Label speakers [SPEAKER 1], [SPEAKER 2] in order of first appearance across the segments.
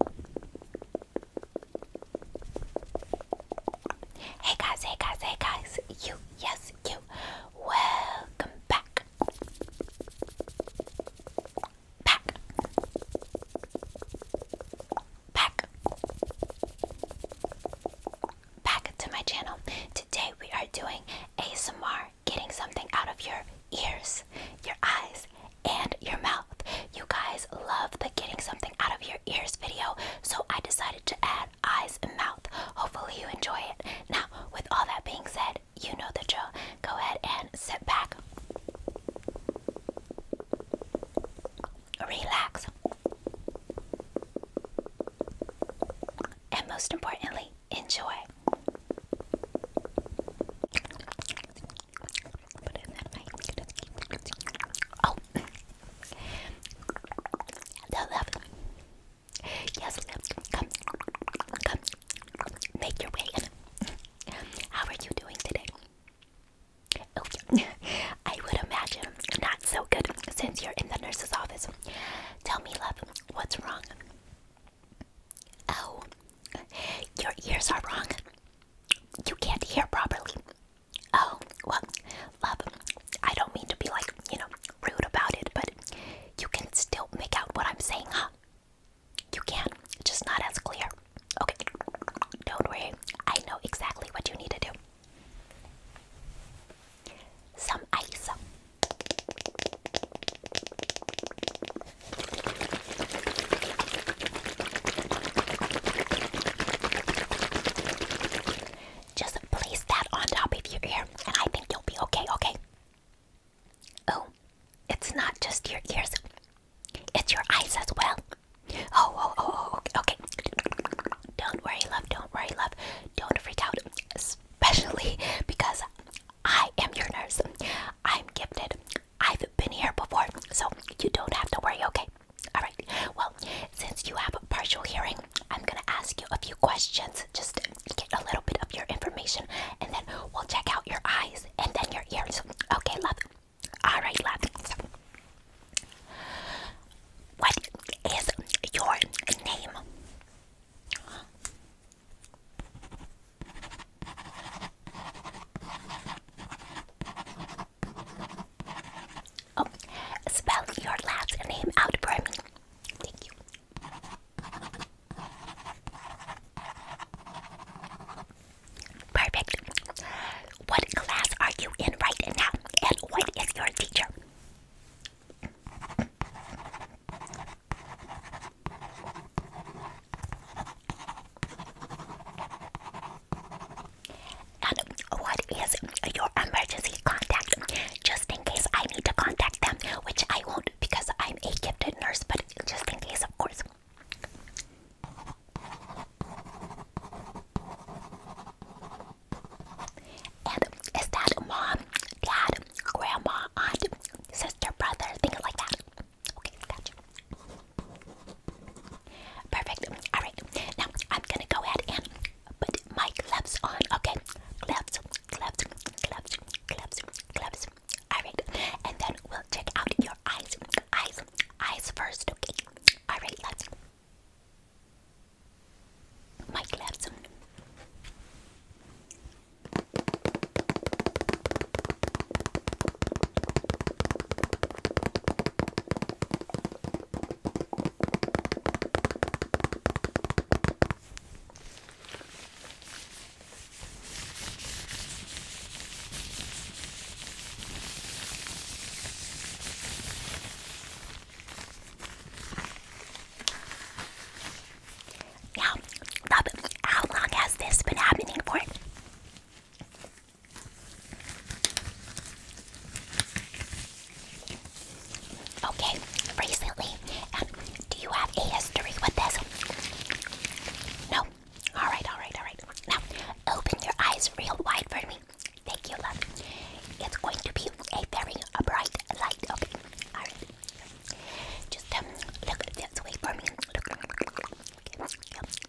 [SPEAKER 1] Hey guys, hey guys, hey guys, you, yes, you, welcome back. Back. Back. Back to my channel. Today we are doing ASMR, getting something out of your ears, your eyes, and your mouth. You guys love the getting something out of your ears video, so I decided to add eyes and mouth. Hopefully, you enjoy it. Now, with all that being said, you know the drill. Go ahead and sit back, relax, and most importantly, enjoy. Oh! The left. Yes, come, come, make your way in. How are you doing today? I would imagine not so good since you're in the nurse's office. Tell me, love, what's wrong? Oh, your ears are wrong you can't hear properly. Oh, well, love, I don't mean to be like, you know, rude about it, but you can still make out what I'm saying, huh? You can, just not as clear. Okay, don't worry, I know exactly what you need to do. Some ice. Just place that on top of your ear, and I think you'll be okay, okay? Oh, it's not just your ears, it's your eyes as well. Oh, oh, oh, oh, okay, Don't worry, love, don't worry, love. Don't freak out, especially because I am your nurse. I'm gifted I've been here before, so you don't have to worry, okay? Alright, well, since you have a partial hearing, I'm gonna ask you a few questions, just get a little bit of your information, and then we'll check out your eyes and then your ears. Okay, love? Alright, love. what is your name? Oh, spell your last name out for me. Thank you. Perfect. What class are you in right now? And what is your teacher? And what is your emergency contact? Just in case I need to contact them, which I won't because I'm a gifted nurse, but just in case, of course. And is that mom, dad, grandma, aunt, sister, brother, things like that? Okay, gotcha. Perfect. Alright, now I'm gonna go ahead and put my gloves on. Okay, gloves, gloves, gloves, gloves, gloves. Alright, and then we'll check out your eyes, eyes, eyes first. Okay, alright, let's. My gloves. Now, how long has this been happening for? Okay, recently. Um, do you have a history with this? No. All right, all right, all right. Now, open your eyes real wide for me. Thank you, love. It's going to be a very bright light. Okay. All right. Just um, look this way for me. Look.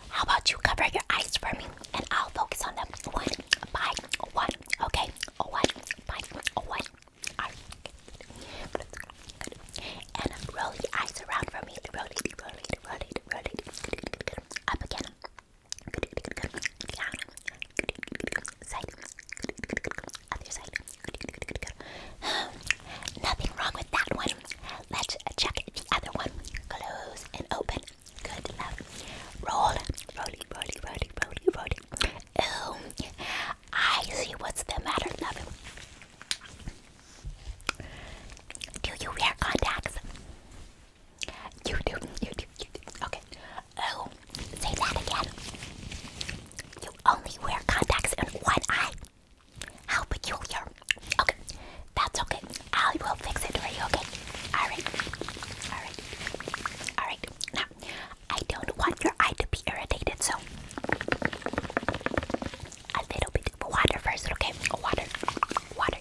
[SPEAKER 1] how about you cover your eyes for me and I'll focus on them one by one, okay? One by one. And roll your eyes around for me. Roll it, roll it, roll it, roll it. Good, good, Up again. Side. Other side. Nothing wrong with that one. Let's check the other one. Close and open. Good love. Roll, rolly, rolly, rolly, rolly, rolly. Oh, I see what's the matter, love. Do you wear contacts? You do, you do, you do. Okay. Oh, say that again. You only wear contacts in one eye. How peculiar. Okay, that's okay. I will fix it for you, okay? Alright, alright, alright. Now, I don't want your eye to be irritated, so a little bit of water first, okay? Water, water, water.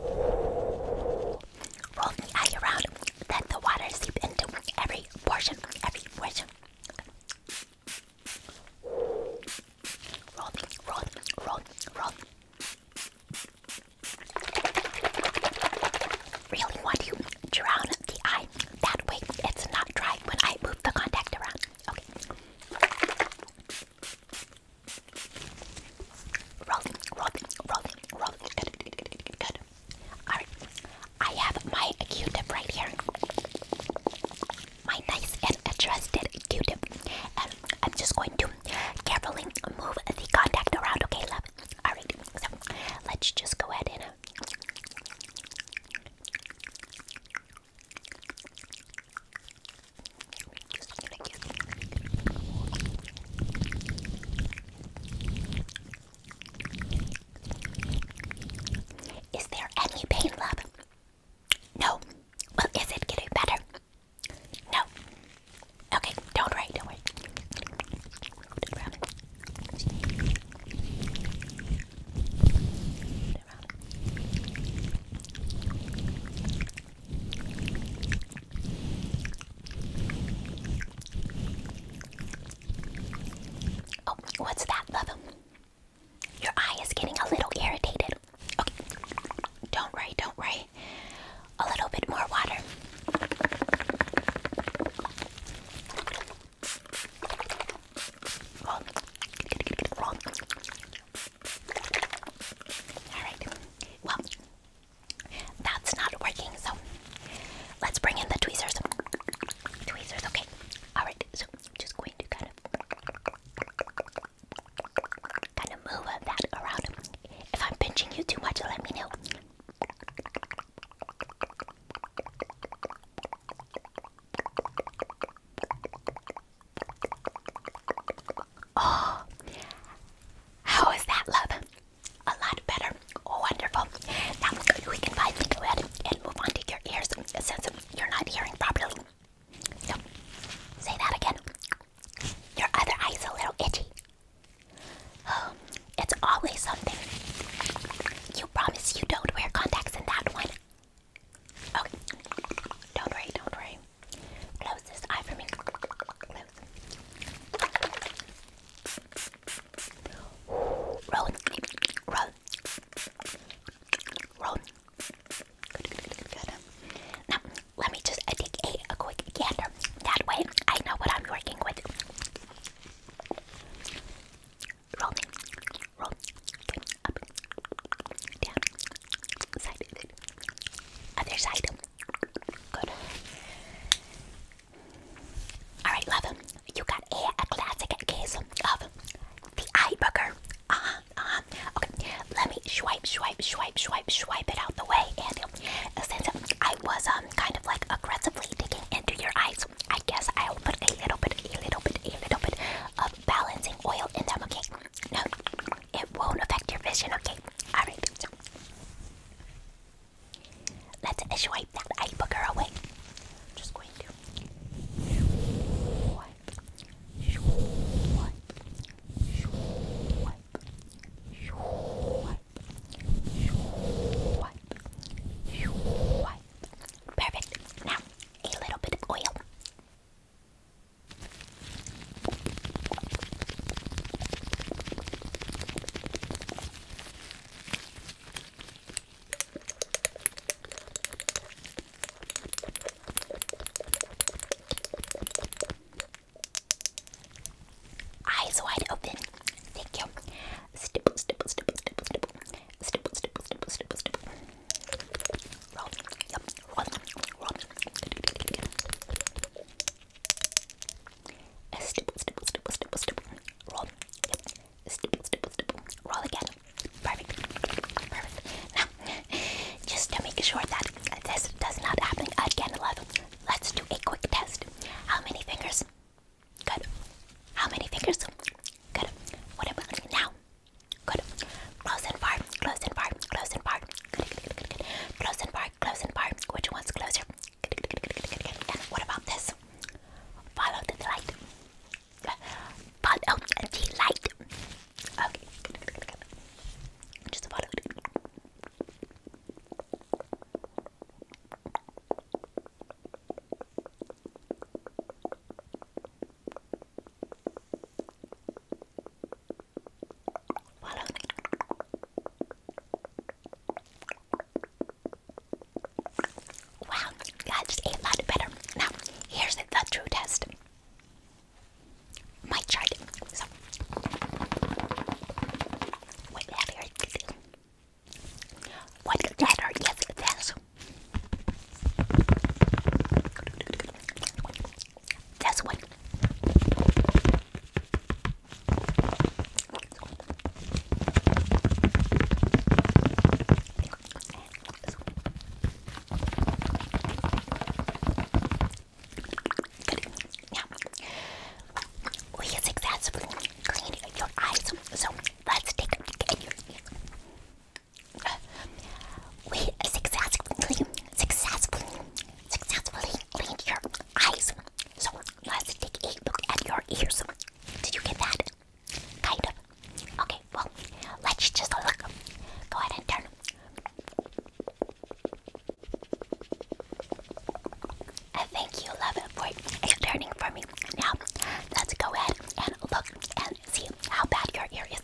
[SPEAKER 1] Roll the eye around, let the water seep into every portion, every portion. Roll, roll, roll, roll. Really want to drown the eye. That way it's not dry when I move the contact around. Okay. Rolling, rolling, rolling, rolling. Good, good, Alright, I have my Q-tip right here. My nice and trusted Q-tip. And um, I'm just going to carefully move the contact around, okay, love? Alright, let's just go ahead and. Is there any pain, love? No. Well, is it getting better? No. Okay, don't worry, don't worry. Oh, what's that, love? Your eye is getting a little irritated. Okay, don't worry, don't worry. A little bit more water. Alright, well, that's not working, so let's bring in the tweezers. Tweezers, okay. Alright, so I'm just going to kind of kind of move that around. If I'm pinching you too much, let me know. Oh, how is that, love? A lot better. Wonderful. Now we can finally go ahead and move on to your ears since you're not hearing properly. So, say that again. Your other eye's a little itchy. Oh, it's always something. You promise you don't wear contacts in that one. Okay. Don't worry, don't worry. Close this eye for me. Close. Roll. Roll. Roll. Now, let me just take a quick gander. That way, I know what I'm working with. Roll. Roll. Up. Down. Other side. Good. Alright, love. You got a, classic case of the eye burger. Uh -huh, uh-huh. Okay, let me swipe, swipe, swipe, swipe, swipe it out the way. And since I was um kind of like aggressively digging into your eyes, I guess I'll put a little bit, a little bit, a little bit of balancing oil in them. Okay. No. It won't affect your vision, okay? Alright, let's swipe that eye away. Perfect. Now, a little bit of oil. Eyes wide open. Thank you. Stipple, stipple, stipple, stipple, stipple. Stipple, stipple, stipple, stipple, stipple. Roll. Yep. Roll. Roll. A stipple, stipple, stipple, stipple, Roll. Yep. A stipple, Roll again. Perfect. Perfect. Now, just to make sure that this does not happen again, love, let's do a quick test. How many fingers? Good. How many fingers? Good. What about now? Good. Close and far. Close and far. Close and far. Good, good, good, good, good. Close and far. Close and far. Which one's closer? Good, good, good, good, good, good, good. And what about this? Follow the light. Follow the light. Okay. Good, good, good, good. Just follow it. Follow Wow, that just ate a lot better. Now, here's the true test. My chart. So, What letter is this? That's what we successfully cleaned your eyes, so let's take a We successfully, successfully, successfully cleaned your eyes. So let's take a look at your ears. Did you get that? Kind Okay, well, let's just look. Go ahead and turn. thank you, love, for turning for me. Now, let's go ahead and look and see how bad your ear is.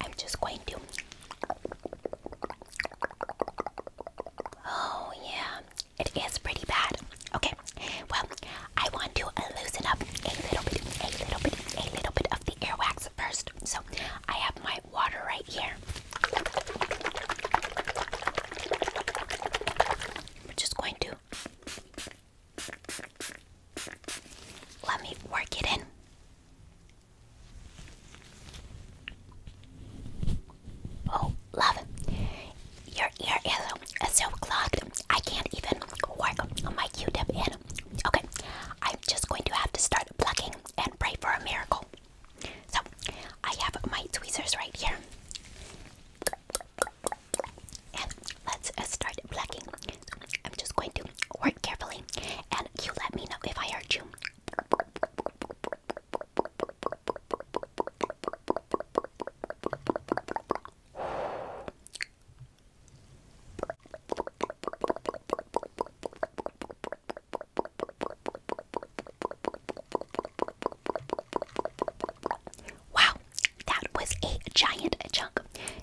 [SPEAKER 1] I'm just going to. Oh, yeah, it is pretty bad. Okay, well, I want to loosen up a little bit, a little bit, a little bit of the airwax first. So I have my water right here. We're just going to let me work it in. Oh, love, your ear is so clogged. I can't even work on my Q-tip in. Okay, I'm just going to have to start plugging and pray for a miracle. So, I have my tweezers right here. And let's uh, start plucking. I'm just going to work carefully and you let me know if I hurt you. Wow, that was a giant chunk.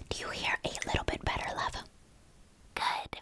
[SPEAKER 1] Do you hear a little bit better, love? Good.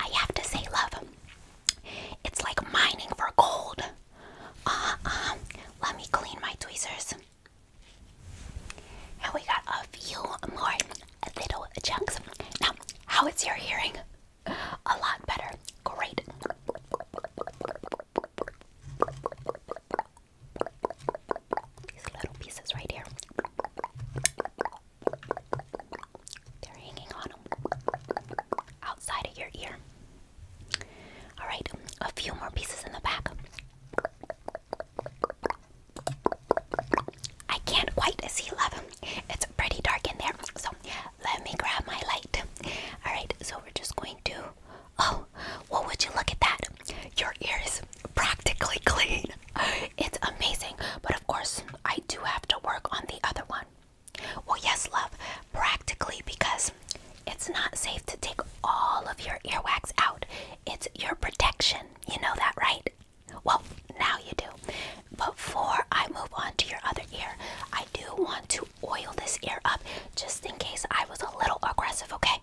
[SPEAKER 1] I have to say, love, it's like mining for gold. Uh, uh, let me clean my tweezers. And we got a few more little chunks. Now, how is your hearing? A lot better. Great. These little pieces right here. They're hanging on them outside of your ear. Alright, a few more pieces in the back. I can't quite see 11. It's pretty dark in there. So let me grab my light. Alright, so we're just going to. Oh, what would you look at that? Your ear is practically clean. It's amazing, but of course, I do have to work on the other one. Well, yes, love, practically because it's not safe to take all of your earwax out. It's your protection. You know that, right? Well, now you do. But Before I move on to your other ear, I do want to oil this ear up just in case I was a little aggressive, okay?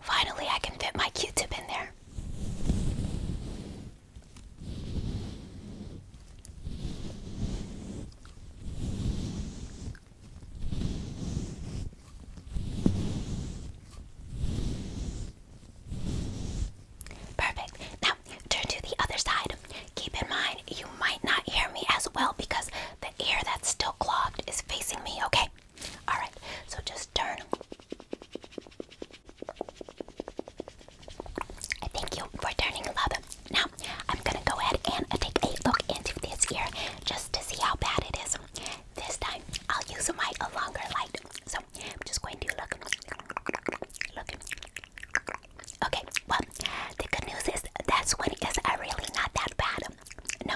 [SPEAKER 1] Finally, I can fit my Q-tip in there. Perfect. Now, turn to the other side. Keep in mind, you might not hear me as well because the ear that's still clogged is facing me, okay? Alright, so just turn. Thank you for turning, love. Now, I'm gonna go ahead and uh, take a look into this ear just to see how bad it is. This time, I'll use my uh, longer light. So, I'm just going to look. Look. Okay, well, the good news is that's one is uh, really not that bad. No,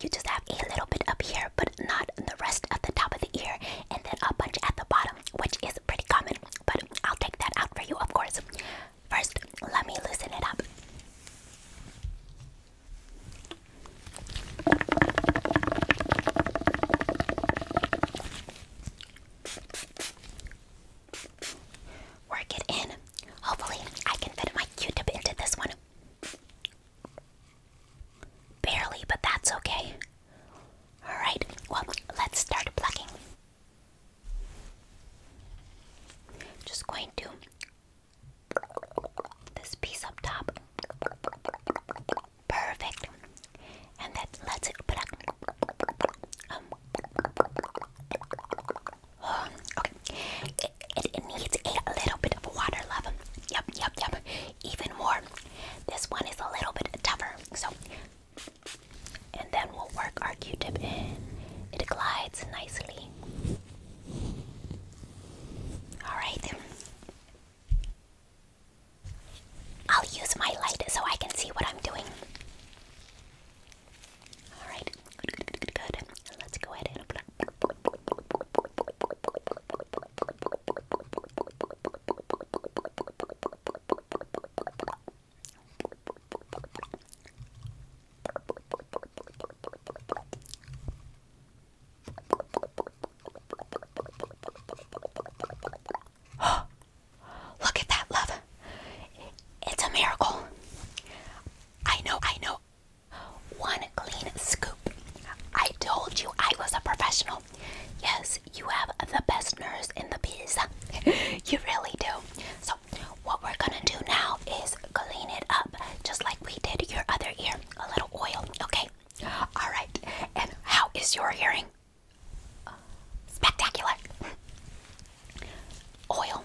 [SPEAKER 1] you just have a little bit up here, but not the rest of the top of the ear, and then a bunch at the bottom, which is pretty common, but I'll take that out for you, of course. First, let me loosen it up. Work it in. Hopefully, I can fit my Q-tip into this one. Barely, but that's okay. Alright, well, let's start plugging. Just going to this piece up top. Perfect. And then let's pluck. Um, Oh, okay, it, it needs a little bit of water, love. Yep, yep, yep. Even more. This one is a little bit tougher. So, and then we'll work our Q-tip in. It glides nicely. All right. I'll use my light so I can see what I'm doing. All right, Let's go ahead and. look at that love. It's a miracle. I know, I know, one clean scoop. I told you I was a professional. Yes, you have the best nurse in the biz. you really do. So, what we're gonna do now is clean it up just like we did your other ear. A little oil, okay? Alright, and how is your hearing? Spectacular. Oil,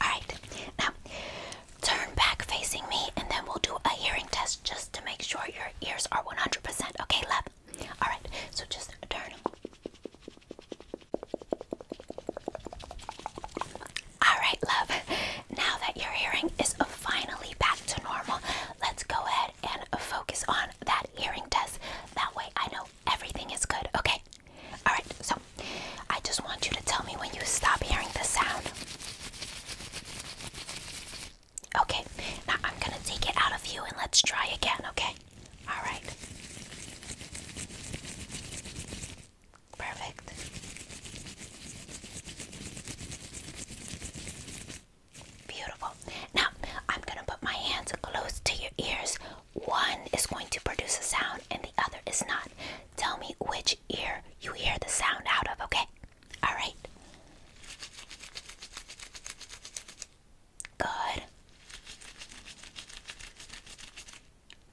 [SPEAKER 1] Alright, now turn back facing me and then we'll do a hearing test just to make sure your ears are 100%. Okay, love? Alright, so just turn. Alright, love, now that your hearing is finally back to normal, let's go ahead and focus on that hearing test. That way I know everything is good, okay? Alright, so I just want you to tell me when you stop hearing the sound. Okay, now I'm gonna take it out of you and let's try again, okay? Alright. Perfect. Beautiful. Now, I'm going to put my hands close to your ears. One is going to produce a sound and the other is not. Tell me which ear you hear the sound out of, okay? All right. Good.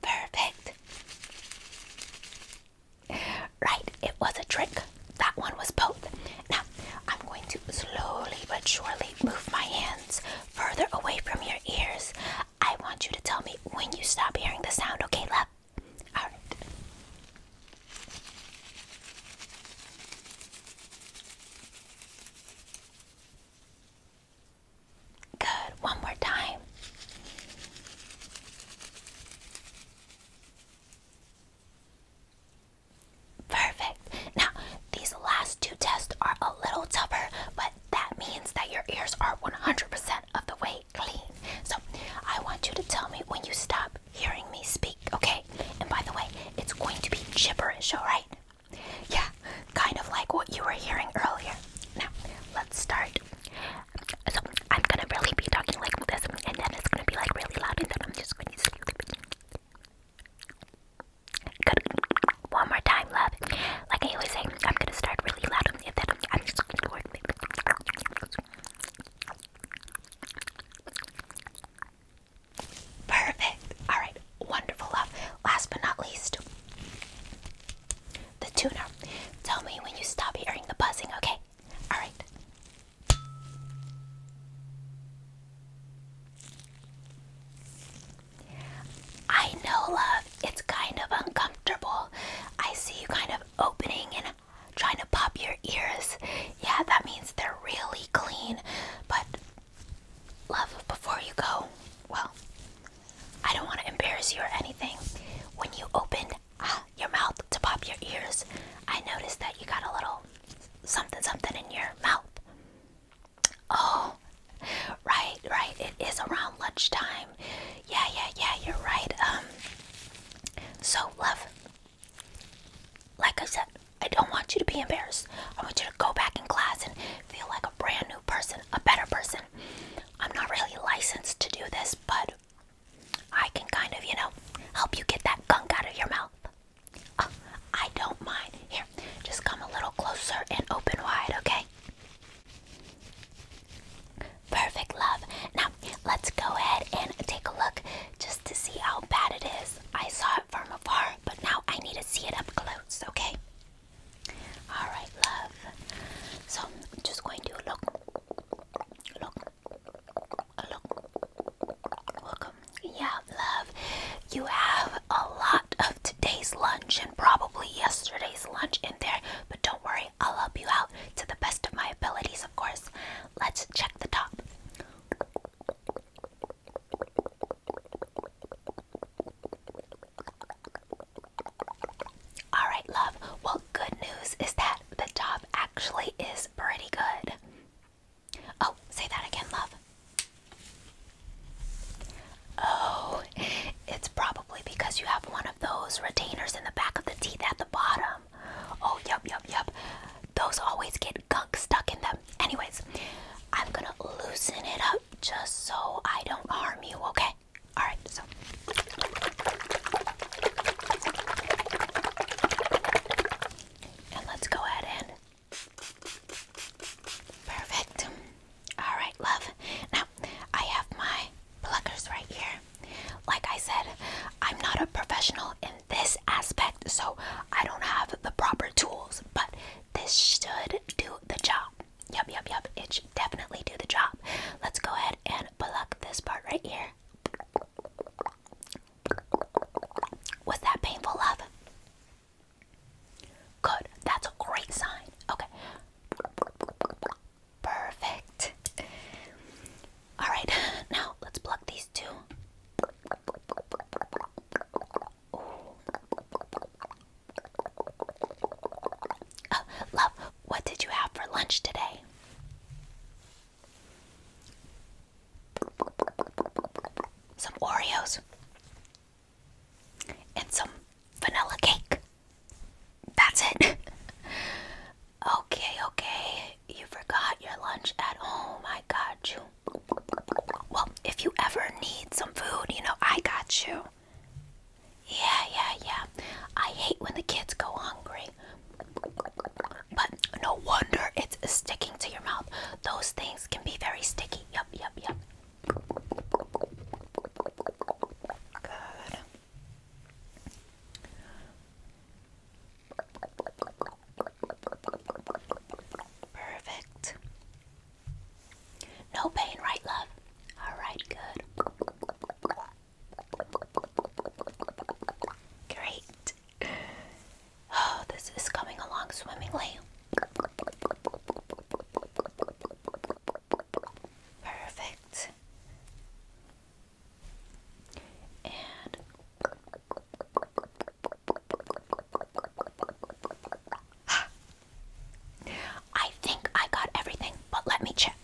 [SPEAKER 1] Perfect. Right, it was a trick. That one was both. Now, I'm going to slowly but surely move my hands further away from your ears. I want you to tell me when you stop hearing the sound, okay, love? Alright. Good. One more time. Perfect. Now, these last two tests are a little tougher, but that means that your ears are 100% of the way clean. So, I want you to tell me when you stop hearing me speak, okay? And by the way, it's going to be gibberish, alright? Yeah, kind of like what you were hearing earlier. Now, let's start. So I'm gonna really be talking like this, and then it's gonna be like really loud, and then I'm just gonna Good. One more time, love. Like I always say, I'm gonna start really loud, and then I'm just gonna Perfect. All right. Wonderful, love. Last but not least, the tuner. Tell me when you stop hearing the buzzing, okay? all right. I know, love, it's kind of uncomfortable. I see you kind of opening and trying to pop your ears. Yeah, that means they're really clean. But, love, before you go, well, I don't want to embarrass you or anything. When you opened ah, your mouth to pop your ears. I noticed that you got a little something something in your mouth. Oh, right, right. It is around lunchtime. Yeah, yeah, yeah. You're right. Um. So, love. Like I said, I don't want you to be embarrassed. I want you to go back in class and feel like a brand new person, a better person. I'm not really licensed to do this, but I can kind of, you know, help you get that gunk out of your mouth. Uh, I don't mind. Here, just come a little closer and open wide, okay? Perfect, love. Now, let's go ahead and take a look just to see how bad it is. I saw it from afar, but now I need to see it up close, okay? Alright, love. So, I'm just going to look, look, yeah, love. You have a lot of today's lunch and probably yesterday's lunch in there, but don't worry, I'll help you out to the best of my abilities, of course. Let's check the top. All right, love. Well, good news is that the top actually is pretty good. Oh, say that again, love. Oh, it's probably because you have one of those retainers in the back of the teeth at the bottom. Oh, yup, yup, yup. Those always get gunk stuck in them. Anyways, I'm gonna loosen it up just so I don't harm you, okay? Alright, so and let's go ahead and perfect. All right, love. Now I have my pluckers right here. Like I said, I'm not a professional in this aspect, so I don't have the proper tools, but this should do the job. Yup, yup, yup. It should definitely do the job. Let's go ahead and pluck this part right here. Was that painful, love? Good. That's a great sign. Okay. Perfect. All right. Now let's plug these two. Oh, love, what did you have for lunch today? some Oreos, and some vanilla cake. That's it. okay, okay. You forgot your lunch at home. I got you. Well, if you ever need some food, you know, I got you. Yeah, yeah, yeah. I hate when the kids go hungry but no wonder it's sticking to your mouth. Those things can be very sticky. Yup, yup, yup. Good. Perfect. No pain, right, love? All right, good. Great. Oh, this is coming along swimmingly. Perfect. And I think I got everything, but let me check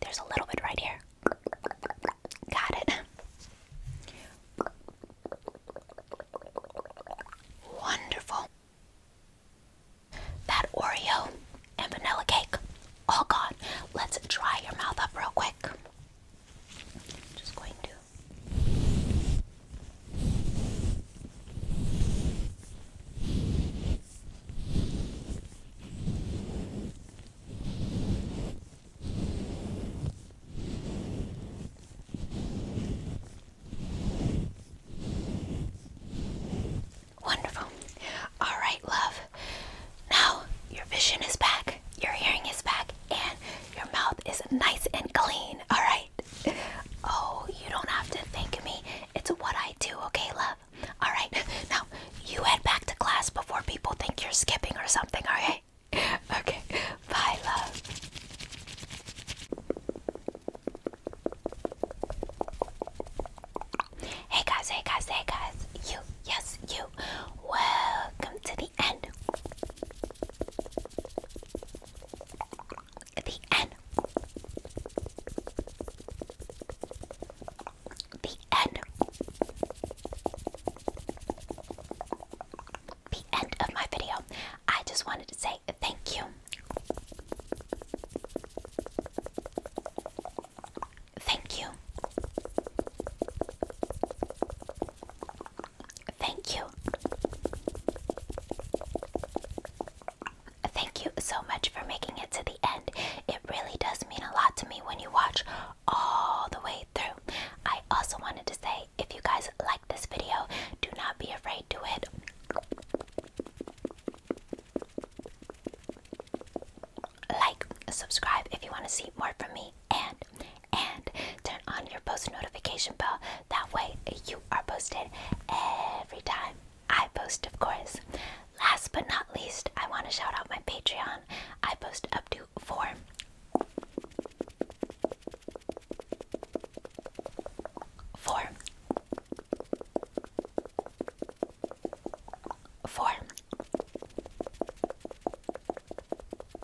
[SPEAKER 1] there's a little bit right here. Got it. Wonderful. That Oreo and vanilla cake, all gone. Let's dry your mouth up real quick just going to Wonderful. All right, love. Now your vision is back, your hearing is back, and your mouth is nice and clean. All right. Oh, you don't have to thank me. It's what I do, okay, love? Alright, now you head back to class before people think you're skipping or something, alright? Okay, bye, love. Hey guys, hey guys, hey guys. You, yes, you. Welcome to the end. The end. The end. The end of my video. I just wanted to say thank you. Thank you. Thank you. Thank you so much for making it to the end. It really does mean a lot to me when you watch all the way through. I also wanted to say if you guys like this video, do not be afraid to it. Like, subscribe if you want to see more from me, and and turn on your post notification bell. That way, you are posted every time I post, of course. Last but not least, I want to shout out my Patreon. I post up to four